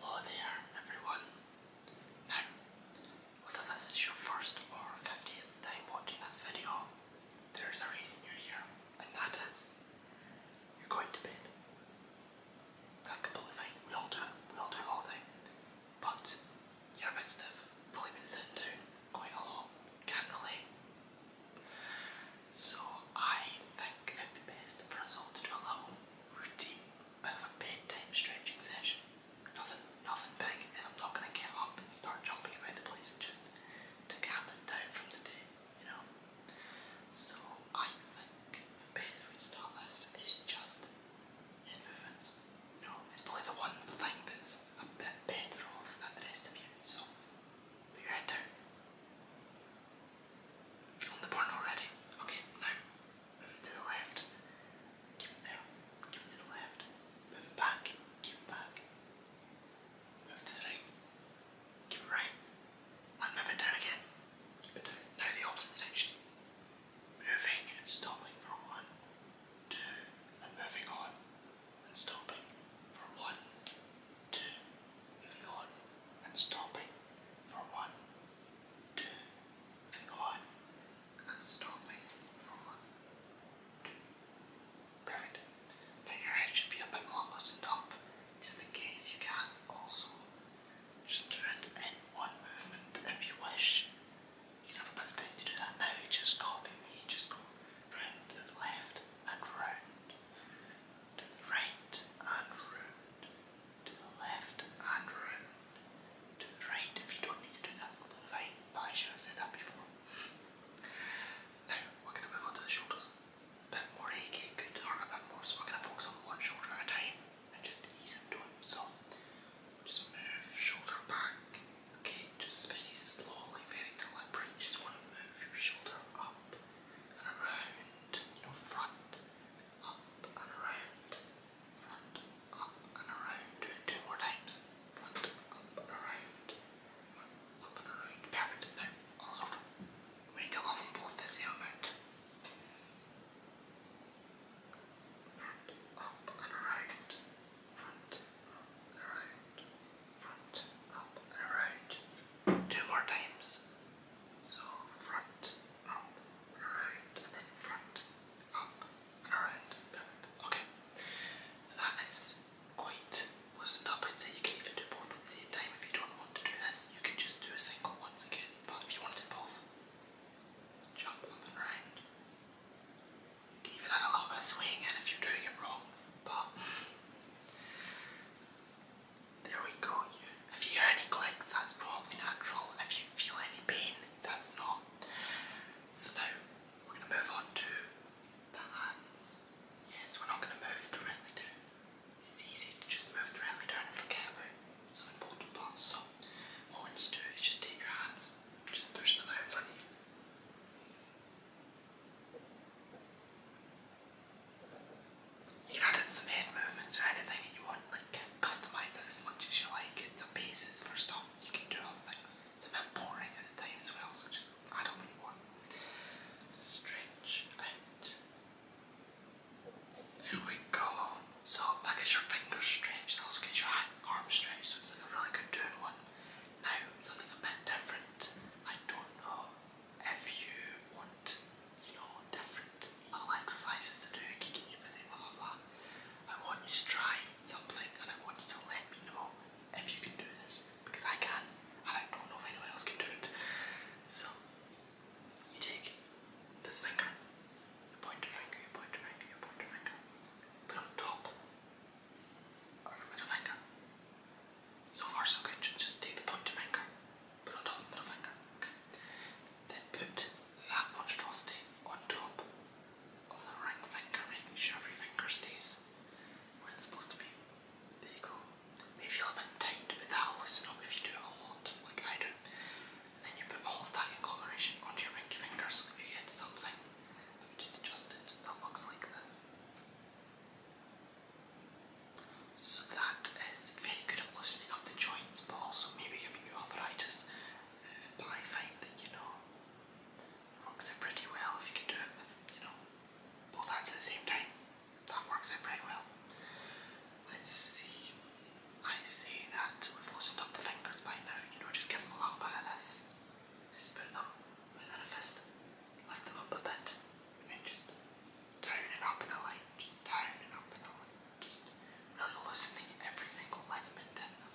Hello there, everyone. Now, whether this is your first or 50th time watching this video, there's a reason you're here, and that is you're going to bed. That's completely fine. We all do We all do all the But you're a bit stiff. Probably been sitting down quite a lot. Can't relate. So I think it'd be best for us all to do a little routine, bit of a bedtime stretching session. Nothing, nothing big, and I'm not gonna get up and start jumping about the place. Just to calm us down from the day, you know. So I think the best way to start this is just head movements. You know, it's probably the one thing that's a bit better off than the rest of you. So be right there. You're the barn already. Okay, now move it to the left. Keep it there. Keep it to the left. Move it back. Keep it back. Move to the right. Keep it right. And move it down again. Keep it down. Now the opposite direction. Moving stopping for one, two, and moving on and stopping for one, two, moving on and stopping for one, two, moving on and stopping for one, two. Perfect. Now your head should be a bit more loosened up, just in case you can also just do it in one movement if you wish. You can have a bit of time to do that now, just copy me, just go round to the left and round to the right and round, to the left and round, to the right. If you don't need to do that, completely I should have said that before. Now, we're going to move on to the shoulders. bit more achy, good a bit more, so we're going to focus on one shoulder at a time and just ease into it. So, just move shoulder back, okay? Just very slowly, very deliberate. just want to move your shoulder up and around, front, up and around, front, up and around. Do it two more times. Front, up and around, up and around. Perfect. Now, also, we need to have them both the same amount. Front, up and around, front, Two more times. So front, up around, and then front, up and around. Okay. So that is quite loosened up. I'd say you can even do both at the same time. If you don't want to do this, you can just do a single once again. But if you want both, jump up and round. Give a little of swing and if you're doing it wrong, but there we go. If you hear any clicks, that's probably natural. If you feel any pain, that's not. So now we're going to move on to the hands. Yes, we're not going to move directly down. It's easy to just move directly down and forget about some important parts. So what we need to do is just take your hands, just push them out from you. You can add in some head movements or anything you want, like customise this as much as you like. It's a basis for stuff, you can do other things. It's a bit boring at the time as well, so just add on what Stretch There we go. So that gets your fingers stretched, that also gets your arm stretched, so it's like a really good doing one. Now, something a bit different. I don't know if you want, you know, different little exercises to do, keeping you busy, blah blah I want you to try something and I want you to let me know if you can do this because I can and I don't know if anyone else can do it. So, you take this finger, point your finger, you point finger, you point finger, put on top or middle finger. So far so good, just take the pointer finger, put on top of the middle finger, okay? Then put that monstrosity on top of the ring finger, making sure every finger stays where it's supposed to be. There you go. May feel a bit tight, but that'll loosen up if you do it a lot, like I do. then you put all of that in onto your pinky finger so that you get something. That looks like this. So that is very good at loosening up the joints, but also maybe giving you arthritis. Uh, that you know works out pretty well if you can do it with you know both hands at the same time. That works out pretty well. Let's see. I say that we've loosened up the fingers by now. You know, just give a little bit of this. Just put them with a fist, lift them up a bit, and then just down and up in a line, just down and up in a line, just really loosening every single ligament in them.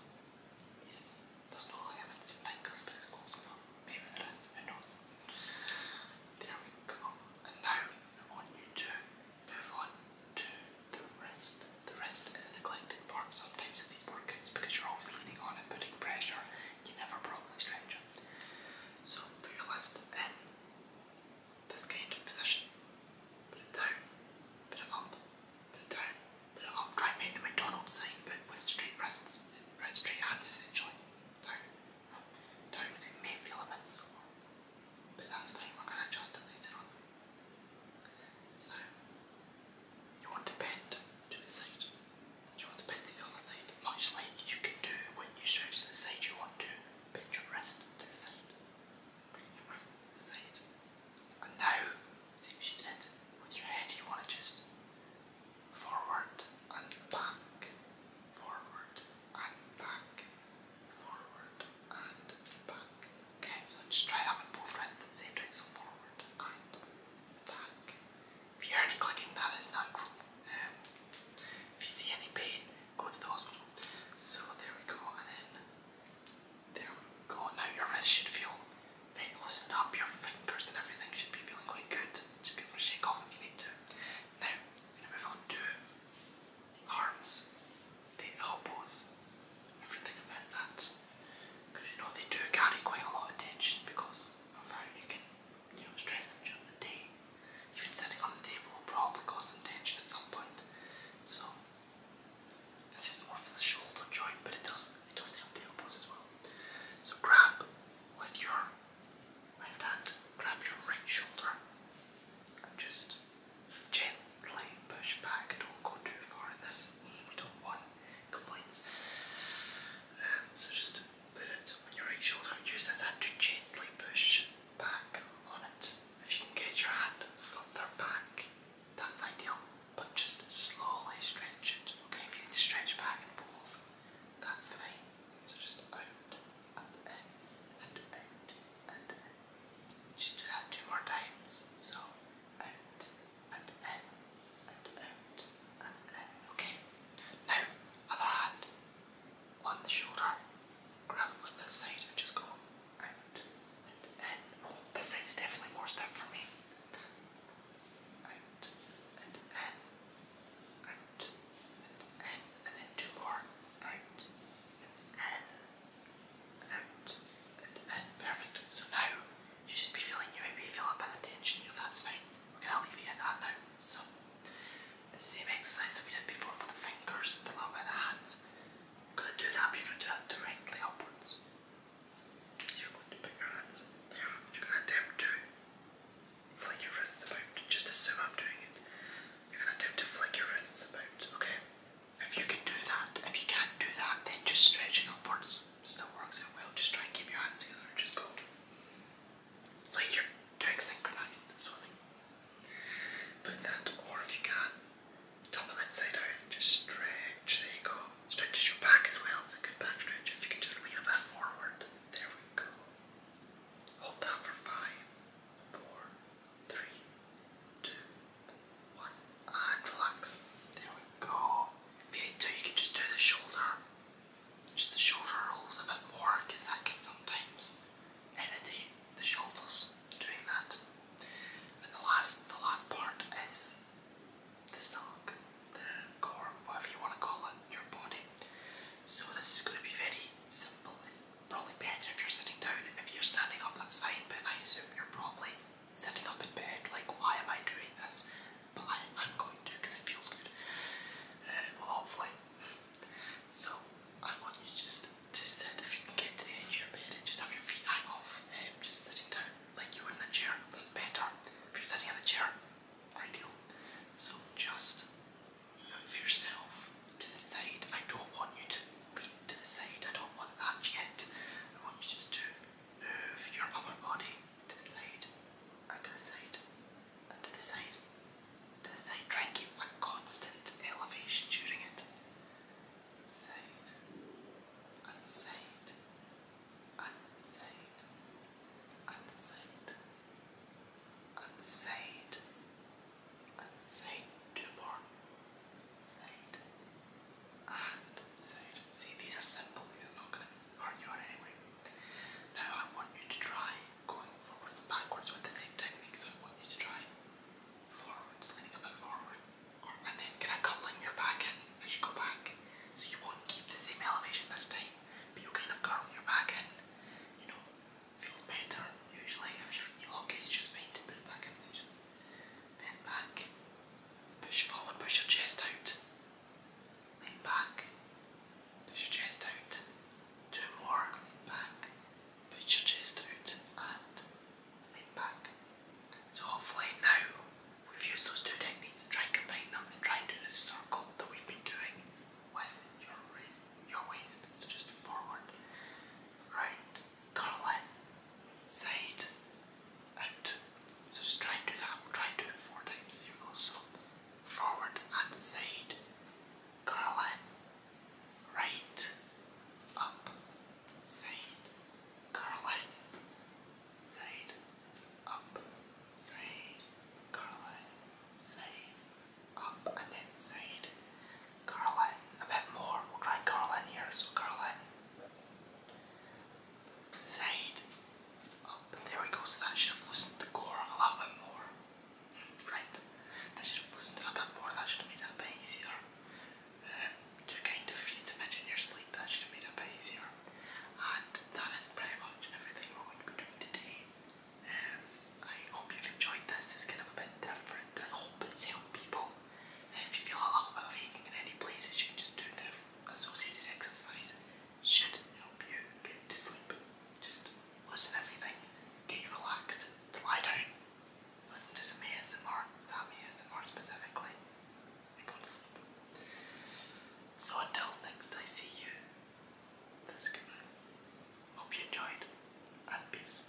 Yes, there's no ligaments in fingers, but close enough. Maybe there is, who knows? There we go. And now I want you to move on to the wrist. The wrist is neglected part sometimes in these workouts because you're always leaning on it, putting pressure, you're never a problem So put your list in this kind of position. Put it down, put it up, put it down, put it up. Try and make the McDonald's scene, but with straight wrists, straight hands essentially. Down, down. It may feel a bit sore, but that's fine. We're going to adjust it later on. So, you want to bend to the side. You want to bend to the other side. Much like you can do when you stretch to the side, you want to bend your wrist to the side. Bend your right to the side. And now, same as you did with your head, you want to just forward and back, forward and back, forward and back. Okay, so just try that with both wrists at the same time. So forward and if you hear any clicking, that is not true. Um, if you see any pain, go to the hospital. So there we go, and then there we go. Now your wrist should feel painless up. Your fingers and everything should be feeling quite good. Just give them a shake off if you need to. Now, I'm going to move on to the arms, the elbows, everything about that. Because you know they do carry quite a lot of tension because of how you can, you know, stress them during the day. Even sitting on the table will probably cause some tension at some point. So this is more for the shoulder joint, but it does it does help the elbows as well. So grab with your left hand, grab your right shoulder and just gently push back. Don't go too far in this. We don't want complaints. Um, so just put it on your right shoulder and use that hand to gently push back on it. If you can get your hand further back, that's ideal. But just slowly stretch it. Okay, if you need to stretch back and forth, that's fine. So just out and in and out and in. Just do that two more times. So out and in and out and Okay. Now, other hand on the shoulder. Grab it with side and just go out and in. Oh, side is definitely more stiff for me. Out and in. Out and in. And then two more. Out and in. Out and in. So now you should be feeling you maybe feel up by the tension, if that's fine. We're gonna leave you at that now. So the same exercise that we did before for the fingers, but not the hands. We're gonna do that, you're gonna do that directly upwards. you're going to put your hands in you're gonna attempt to flick your wrists about. Just assume I'm doing it. You're gonna attempt to flick your wrists about, okay? If you can do that, if you can't do that, then just stretching upwards still works out well. Just try and keep your hands together and just go. Like you're doing synchronized swimming. Put that, or if you can, top them inside out and just stretch. There you go. Stretch Stretches your back as well. It's a good back stretch. If you can just lean a bit forward. There we go. Hold that for five, four, three, two, and relax. There we go. If you need you can just do the shoulder. Just the shoulder rolls a bit more because that can sometimes irritate the shoulders doing that. And the last, the last part is the stomach, the core, whatever you want to call it, your body. So this is going to be very simple. It's probably better if you're sitting down. If you're standing up, that's fine. But I assume you're probably sitting up in bed, like, why am I doing this? But I, am going to because it feels good. well, uh, hopefully. So, I want you just to sit, if you can get to the edge of your bed just have your feet hang off, um, just sitting down like you would in a chair. That's better. If you're sitting in a chair, ideal. So, just move yourself to the side. I don't want you to lean to the side, I don't want that yet. I want you just to move your upper body to the side and to the side and the side and the side. Try and keep one constant elevation during it. Side and side and side and side and side and side. Two more. Side. See, these are simple, these are not going to hurt you out anyway. Now I want you to try going forwards backwards with the same technique, so I want you to try forwards, leaning a bit forward. And then can I come your back in as you go back? So you won't keep the same elevation this time, but you'll kind of curl your back in. You know, feels better usually if your elongates just fine to put back in. Bend back. Push forward, push your chest out. Lean back. Push your chest out. Two more. Lean back. Push your chest out and lean back. So hopefully now we've used those two techniques and try and combine them and try and do this circle that we've been doing with your, your waist. So just forward, round, Caroline side out. So just try and do that. Try and do it four times. you go. So forward and side. Caroline right up side. Caroline side up side. Caroline side up and then side. Caroline a bit more. We'll try Caroline here. So Caroline side up. Oh, there we go. So that should have loosened the core a little bit more. Right. That should have loosened a bit more. That should have made it a bit easier. Um, to feed to fidget sleep. That should have made it a bit easier. And that is pretty much everything we're going to be doing today. Um, I hope you've enjoyed this. It's kind of a bit different. I hope it's helped people if you feel a lot of aching in any places, you can just do the associated exercise. Should help you get to sleep. Just loosen everything, get you relaxed, lie down, listen to some ASMR, some ASMR specifically, and go to sleep. So until next I see you, this is goodbye. Hope you enjoyed, and peace.